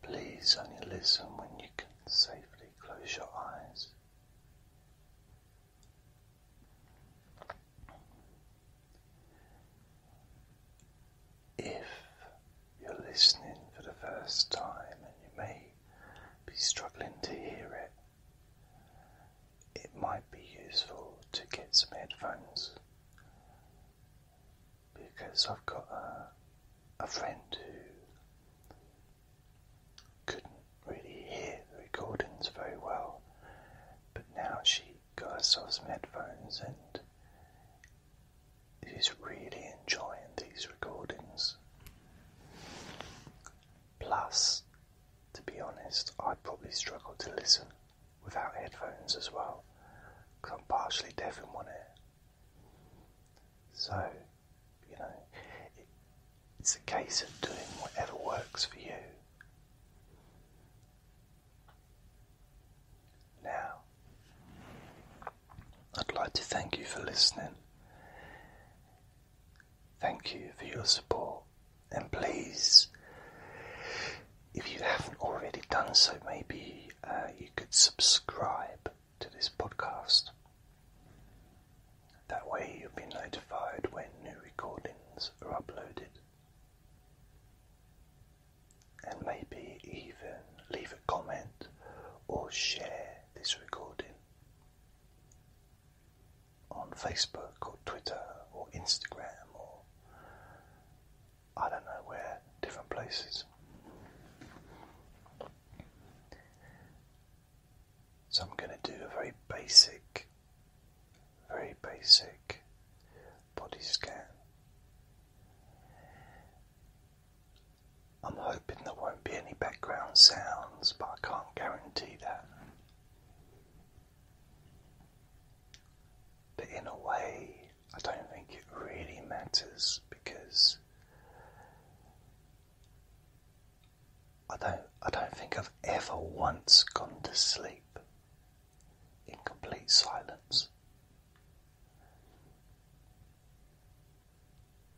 Please only listen when you can safely close your eyes. If you're listening for the first time and you may be struggling to hear it, it might be useful to get some headphones because I've got a, friend who couldn't really hear the recordings very well, but now she got herself some headphones and is really enjoying these recordings. Plus, to be honest, I'd probably struggle to listen without headphones as well because I'm partially deaf in one ear. So, you know, it's a case of doing whatever works for you. Now, I'd like to thank you for listening. Thank you for your support. And please, if you haven't already done so, maybe uh, you could subscribe to this podcast. That way you'll be notified when new recordings are uploaded. And maybe even leave a comment or share this recording on Facebook or Twitter or Instagram or I don't know where different places. So I'm going to do a very basic, very basic body scan. I'm hoping there won't be any background sounds, but I can't guarantee that. But in a way, I don't think it really matters because I don't I don't think I've ever once gone to sleep in complete silence.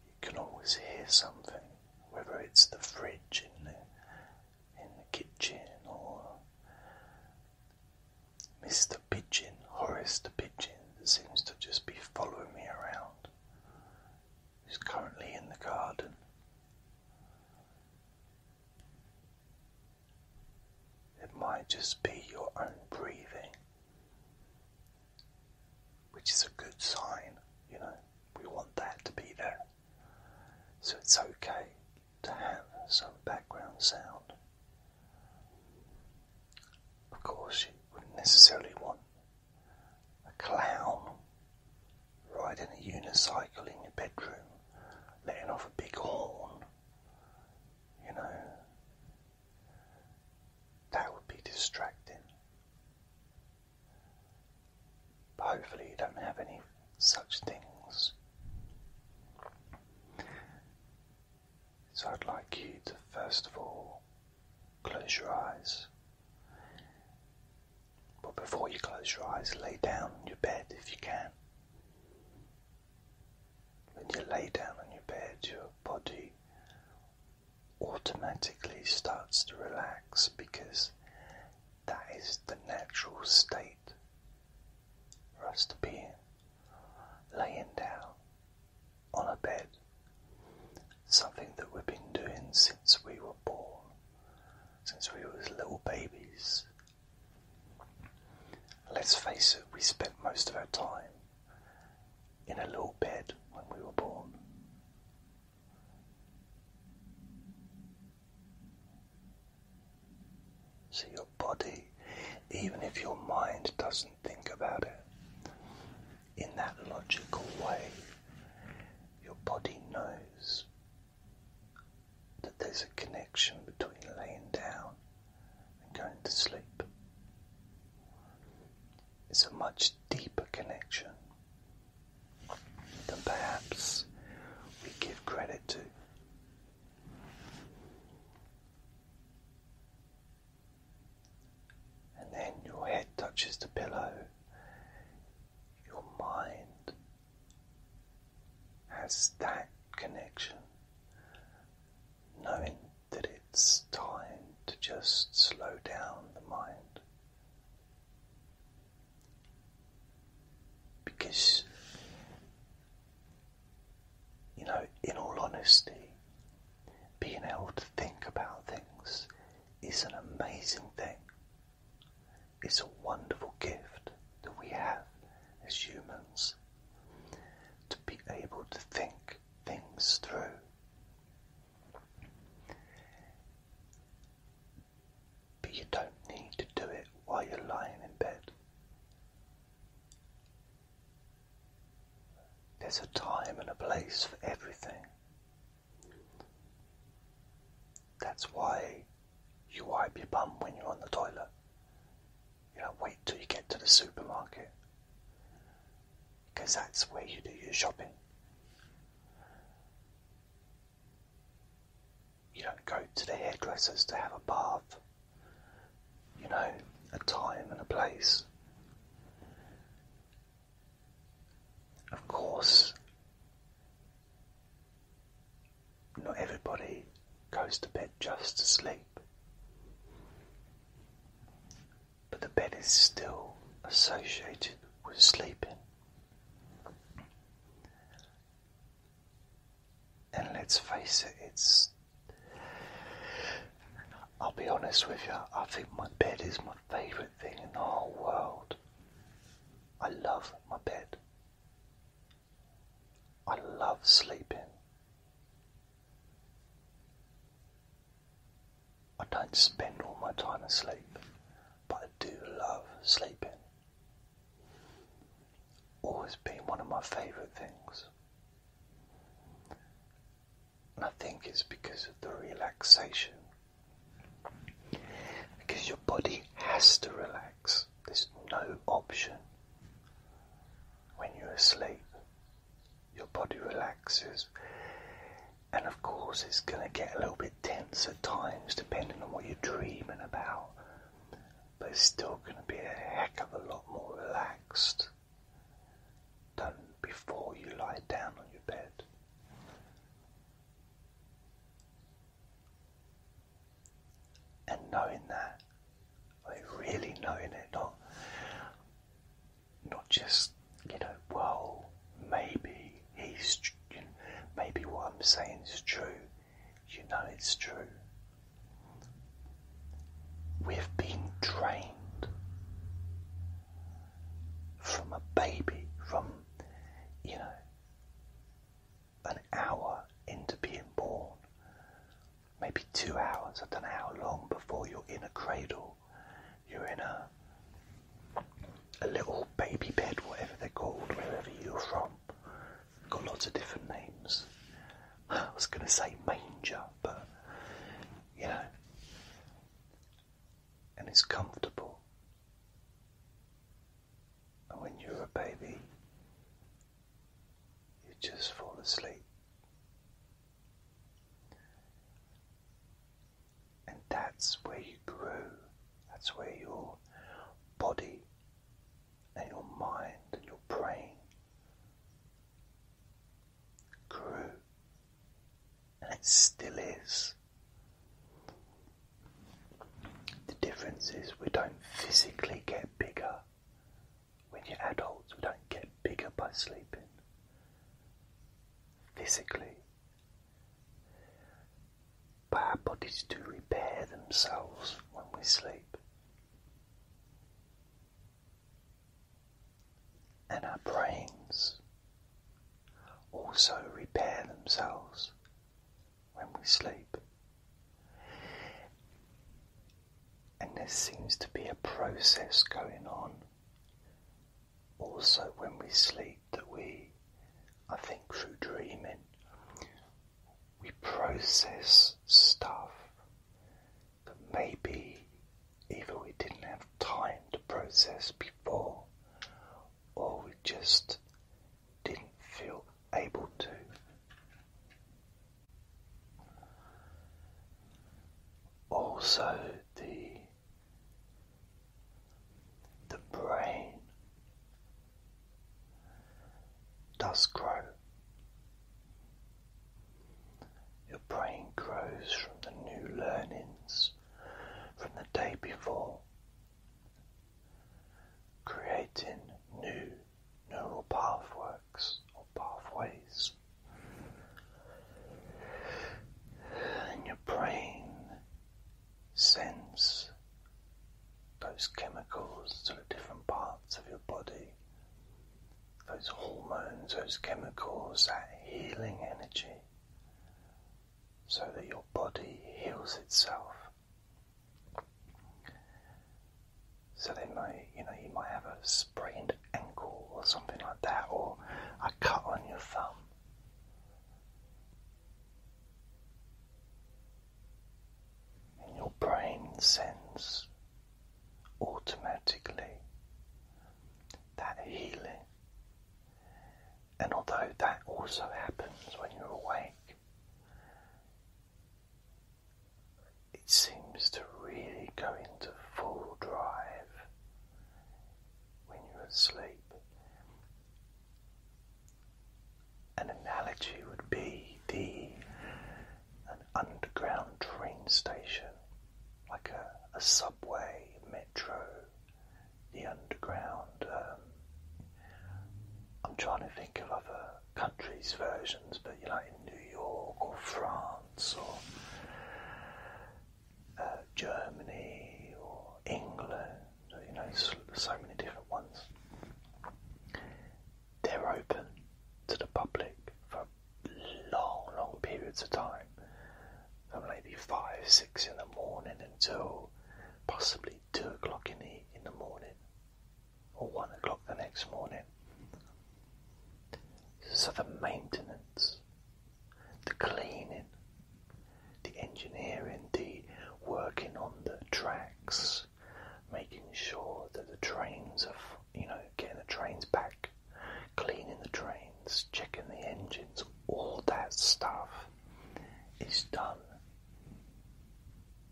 You can always hear something, whether it's the fridge in the in the kitchen or Mr. Pigeon, Horace the Pigeon, seems to just be following me around, He's currently in the garden. It might just be your own breathing, which is a good sign, you know, we want that to be there. So it's okay to have some background sound. Of course, you wouldn't necessarily want a clown riding a unicycle in your bedroom, letting off a big horn. You know, that would be distracting. hopefully, you don't have any such things. So I'd like you to first of all close your eyes. But before you close your eyes, lay down on your bed if you can. When you lay down on your bed, your body automatically starts to relax because that is the natural state for us to be Laying down on a bed, something that we've been doing since we were born, since we were little babies. Let's face it, we spent most of our time in a little bed when we were born. So, your body, even if your mind does not think about it in that logical way. Your body knows that there's a connection between laying down and going to sleep. It's a much deeper connection than perhaps we give credit to and then your head touches the pillow, your mind has that connection, knowing that it's time to just slow down the mind. Because you know, in all honesty, being able to think about things is an amazing thing. It's a wonderful gift that we have as humans to be able to think things through. But you don't need to do it while you're lying in bed. There's a time and a place for everything. That's why you wipe your bum when you're on the toilet. You don't wait till you get to the supermarket. Because that's where you do your shopping. You don't go to the hairdressers to have a bath you know, a time and a place. Of course, not everybody goes to bed just to sleep, but the bed is still associated with sleeping. And let's face it, it's I'll be honest with you, I think my bed is my favourite thing in the whole world. I love my bed. I love sleeping. I don't spend all my time asleep, but I do love sleeping. Always been one of my favourite things. And I think it's because of the relaxation. Because your body has to relax. There's no option. When you're asleep, your body relaxes. And of course, it's going to get a little bit tense at times, depending on what you're dreaming about. But it's still going to be a heck of a lot more relaxed done before you lie down on your bed. And knowing that, I mean, really knowing it, not not just you know, well, maybe he's, maybe what I'm saying is true. You know it's true. We've been trained from a baby, from, you know, an hour into being born, maybe two hours, I don't know how long before you're in a cradle, you're in a a little baby bed, whatever they're called, wherever you're from. Got lots of different names. I was going to say manger, but you know, and it's comfortable. And when you're a baby, you just fall asleep. And that's where you grew, that's where your body and your mind and your brain grew, and it still is. The difference is we don't physically get bigger when you're adults, we don't get bigger by sleeping physically. But our bodies do repair themselves when we sleep and our brains also repair themselves when we sleep. And there seems to be a process going on also when we sleep that we, I think, through dreaming, we process stuff that maybe either we didn't have time to process before or we just didn't feel able to. Also, the the brain does grow your brain grows from the new learnings from the day before, creating new neural pathworks or pathways. And your brain sends those chemicals to different parts of your body those hormones, those chemicals, that healing energy, so that your body heals itself. So then, you know, you might have a sprained ankle or something like that, or a cut on your thumb. And your brain sends automatically that healing. And although that also happens when you're awake, it seems to really go into full drive when you're asleep. An analogy would be the an underground train station, like a, a subway, metro, the underground. Um, I'm trying to think of other countries' versions, but you know, like in New York or France or. Uh, Germany or England, you know, so many different ones they're open to the public for long, long periods of time, from maybe five, six in the morning until possibly two o'clock in the in the morning, or one o'clock the next morning. So the maintenance, the cleaning, the engineering, the working on the tracks, making sure that the trains are you know, getting the trains back, cleaning the trains, checking the engines, all that stuff is done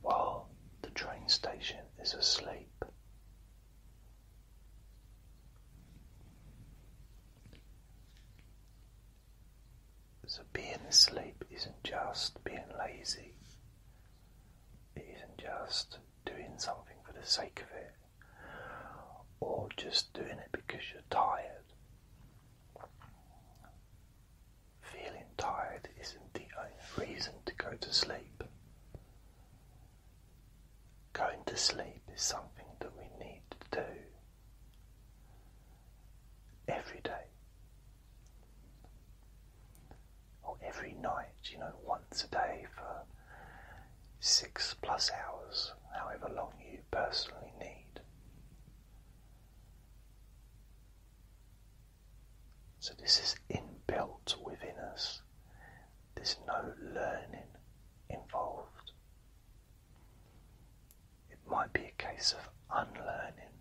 while the train station is asleep. So being asleep isn't just being lazy. It isn't just doing something for the sake of it or just doing it because you're tired. Feeling tired isn't the only reason to go to sleep. Going to sleep is something that we need to do every day or every night, you know, once a day for six plus hours, however long you personally need. So, this is inbuilt within us, there's no learning involved. It might be a case of unlearning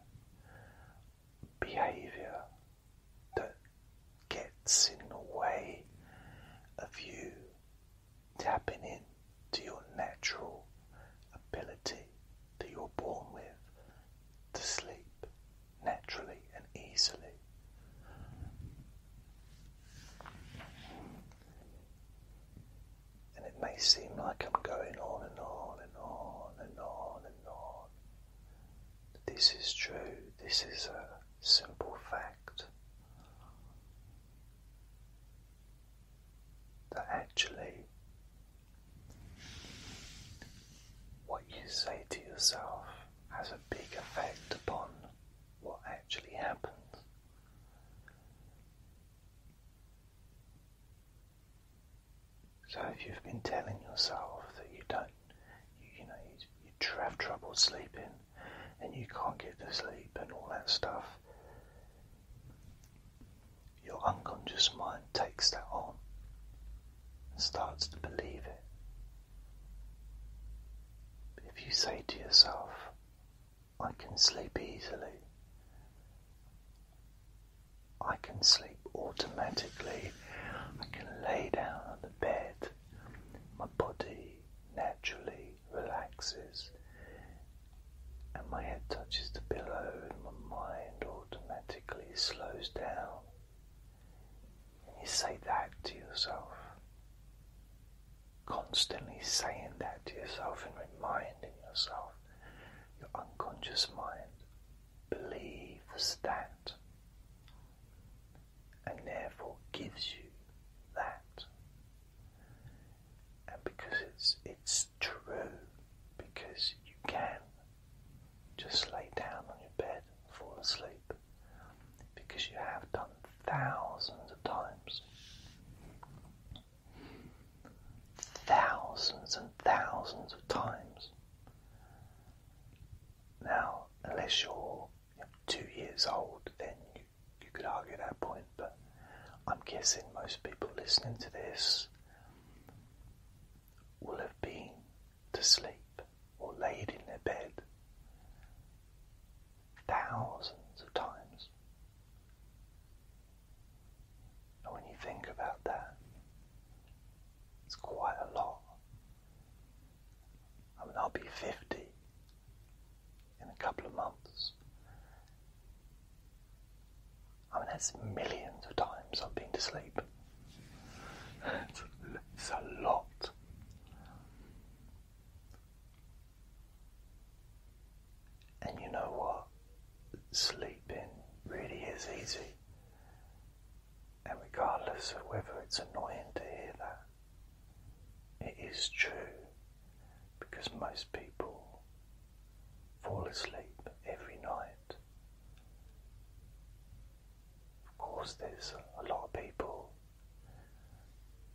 behavior that gets in the way of you tapping into your natural ability that you're born with to sleep naturally and easily. And it may seem like I'm going on and on and on and on and on. This is true. This is a simple fact that actually what you say to yourself has a big effect upon what actually happens. So, if you've been telling yourself that you don't you, know you, have trouble sleeping and you can't get to sleep and all that stuff your unconscious mind takes that on and starts to believe it if you say to yourself i can sleep easily I can sleep automatically. I can lay down on the bed my body naturally relaxes and my head touches the pillow and my mind automatically slows down. And you say that to yourself. Constantly saying that to yourself and reminding yourself, your unconscious mind believes that and therefore gives you that. And because it's it's true, because you can just lay down on your bed and fall asleep, because you have done thousands of times. Thousands and thousands of times. Now, unless you're two years old, then you, you could argue that point. But I'm guessing most people listening to this will have been to sleep or laid in their bed thousands of times. And when you think about that, it's quite a lot I mean, I'll be 50 in a couple of months. I mean, that's millions of times I've been to sleep. it's a lot. And you know what? Sleeping really is easy. And regardless of whether it's annoying to hear that, it is true because most people fall asleep every night. Of course, there's a lot of people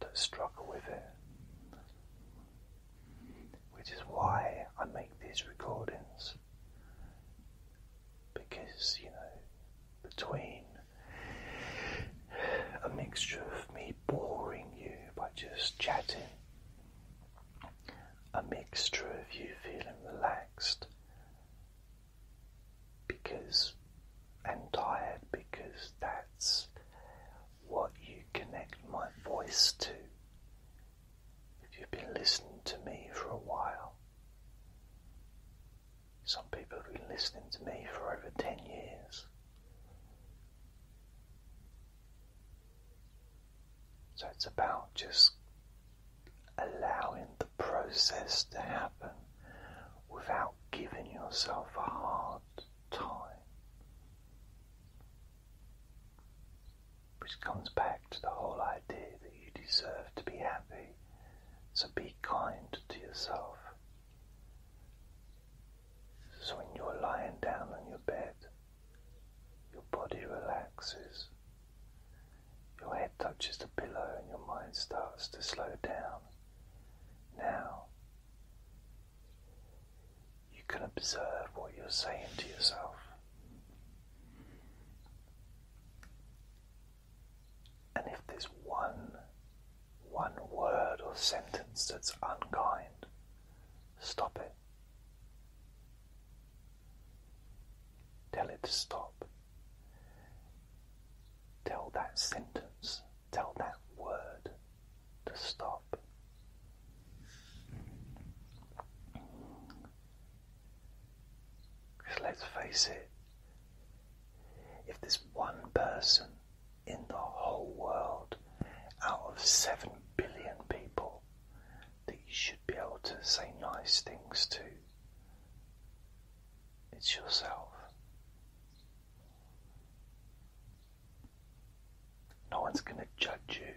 that struggle with it, which is why I make these recordings because you know, between a mixture of me boring you by just chatting, a mixture of you feeling relaxed because and tired because that's what you connect my voice to. If you've been listening to me for a while, some people have been listening to me for over 10 years. So it's about just allowing the process to happen without giving yourself a hard time. Which comes back to the whole idea that you deserve to be happy. So be kind to yourself. So when you're lying down on your bed, your body relaxes, your head touches the pillow, and your mind starts to slow down. Now, you can observe what you're saying to yourself. And if there's one, one word or sentence that's unkind, stop it. Tell it to stop. Tell that sentence, tell that word to stop. Because let's face it, if there's one person in the whole world out of 7 billion people that you should be able to say nice things to, it's yourself. No one's going to judge you.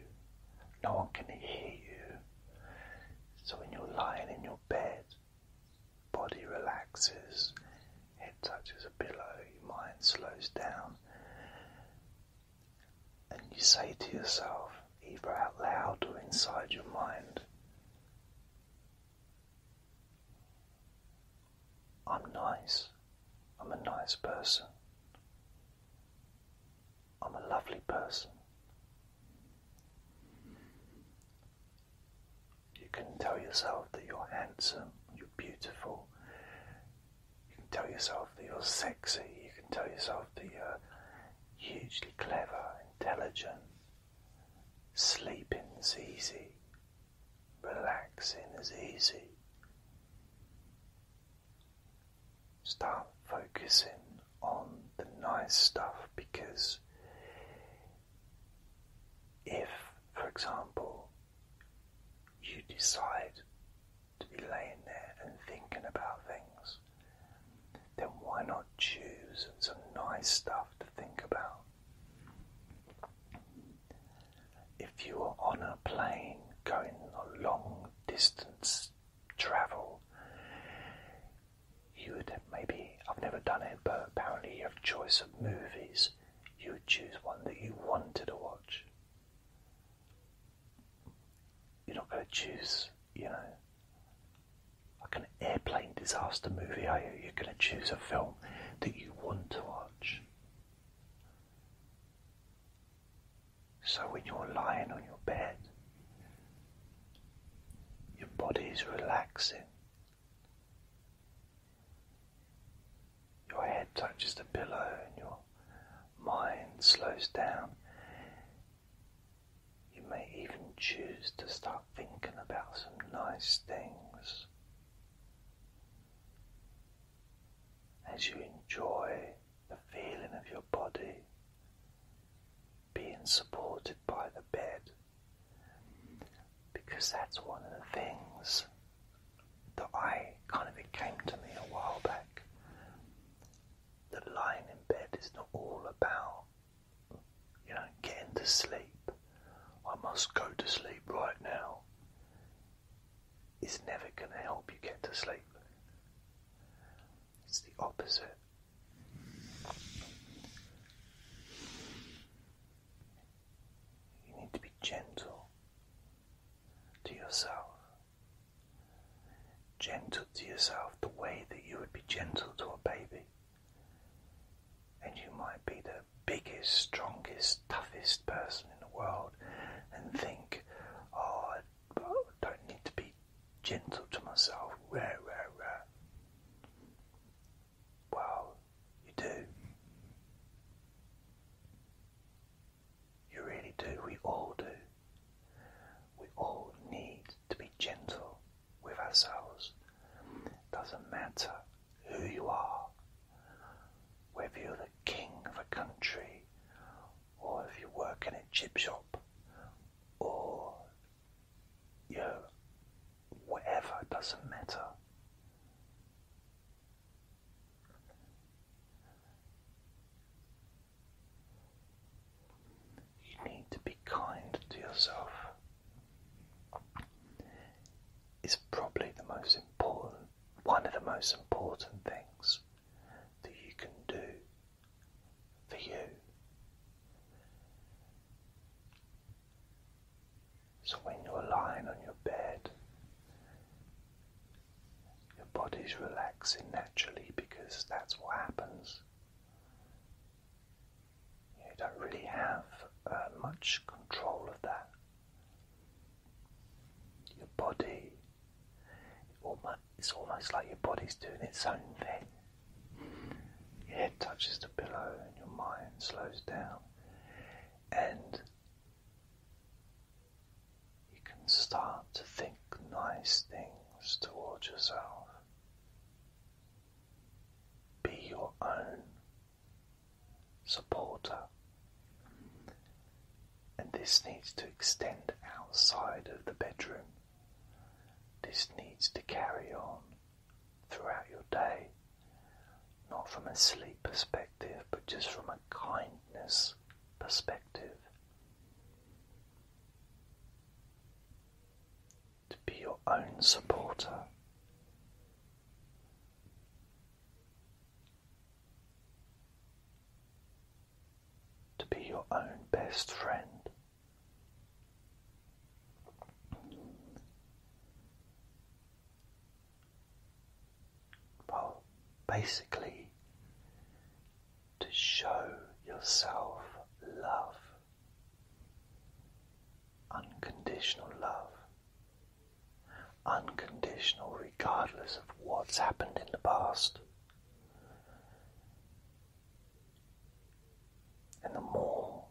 No one can hear you. So when you're lying in your bed body relaxes, head touches a pillow, your mind slows down, and you say to yourself, either out loud or inside your mind, I'm nice, I'm a nice person, I'm a lovely person. You can tell yourself that you're handsome, you're beautiful, you can tell yourself that you're sexy, you can tell yourself that you're hugely clever, intelligent. Sleeping is easy, relaxing is easy. Start focusing on the nice stuff because if, for example, you decide to be laying there and thinking about things, then why not choose some nice stuff to think about? If you are on a plane going a long distance travel, you would maybe, I've never done it, but apparently you have choice of movies. You would choose one that you wanted to watch. You're not going to choose, you know, like an airplane disaster movie, are you? You're going to choose a film that you want to watch. So when you're lying on your bed, your body is relaxing. Your head touches the pillow and your mind slows down. You may even choose to start thinking about some nice things as you enjoy the feeling of your body being supported by the bed because that's one of the things that I kind of it came to me a while back that lying in bed is not all about you know getting to sleep I must go to sleep right now it's never going to help you get to sleep it's the opposite you need to be gentle to yourself. Gentle to yourself the way that you would be gentle to a baby. And you might be the biggest, strongest, toughest person in the world and think, oh, I don't need to be gentle to myself. Rare, rare, rare. Well, you do. You really do. We all do. We all need to be gentle with ourselves. Doesn't matter who you are, whether you're the king of a country, or if you work in a chip shop, or you know, whatever doesn't matter. You need to be kind to yourself. It's probably the most important, one of the most important things that you can do for you. So when you're lying on your bed, your body's relaxing naturally because that's what happens. You don't really have uh, much control of that. Your body, it's almost like your body's doing its own thing. Your head touches the pillow and your mind slows down, and you can start to think nice things towards yourself. Be your own supporter. And this needs to extend outside of the bedroom. This needs to carry on throughout your day, not from a sleep perspective, but just from a kindness perspective. To be your own supporter. To be your own best friend. Well, basically, to show yourself love, unconditional love, unconditional regardless of what's happened in the past. And the more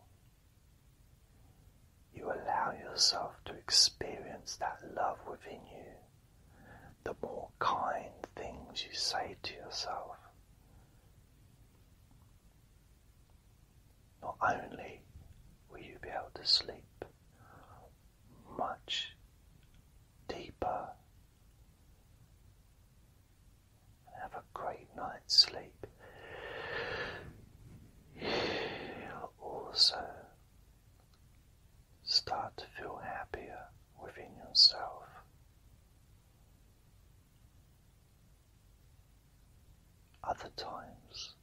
you allow yourself to experience that love within you, the more kind things you say to yourself. Not only will you be able to sleep much deeper and have a great night's sleep. You'll also start to feel happier within yourself. Other times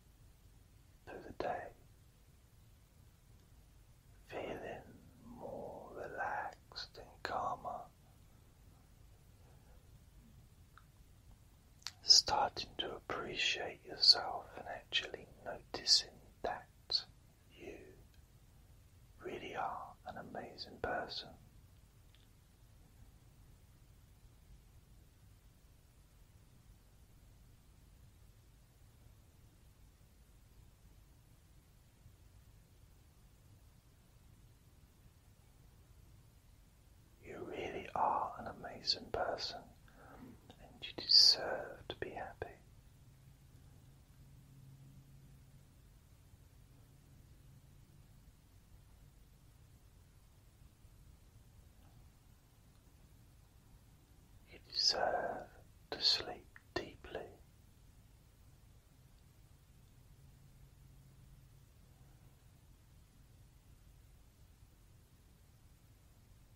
through the day, feeling more relaxed and calmer starting to appreciate yourself and actually noticing that you really are an amazing person. You really are an amazing person and you deserve to be happy. You deserve to sleep deeply.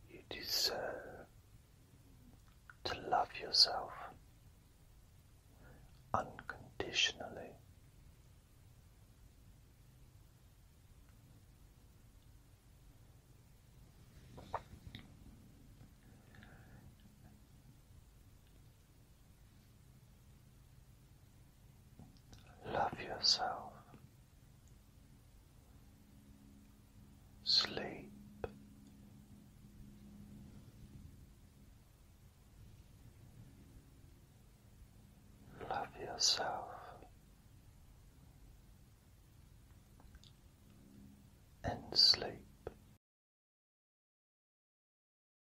You deserve to love yourself unconditionally. Love yourself. Sleep. Love yourself. And sleep.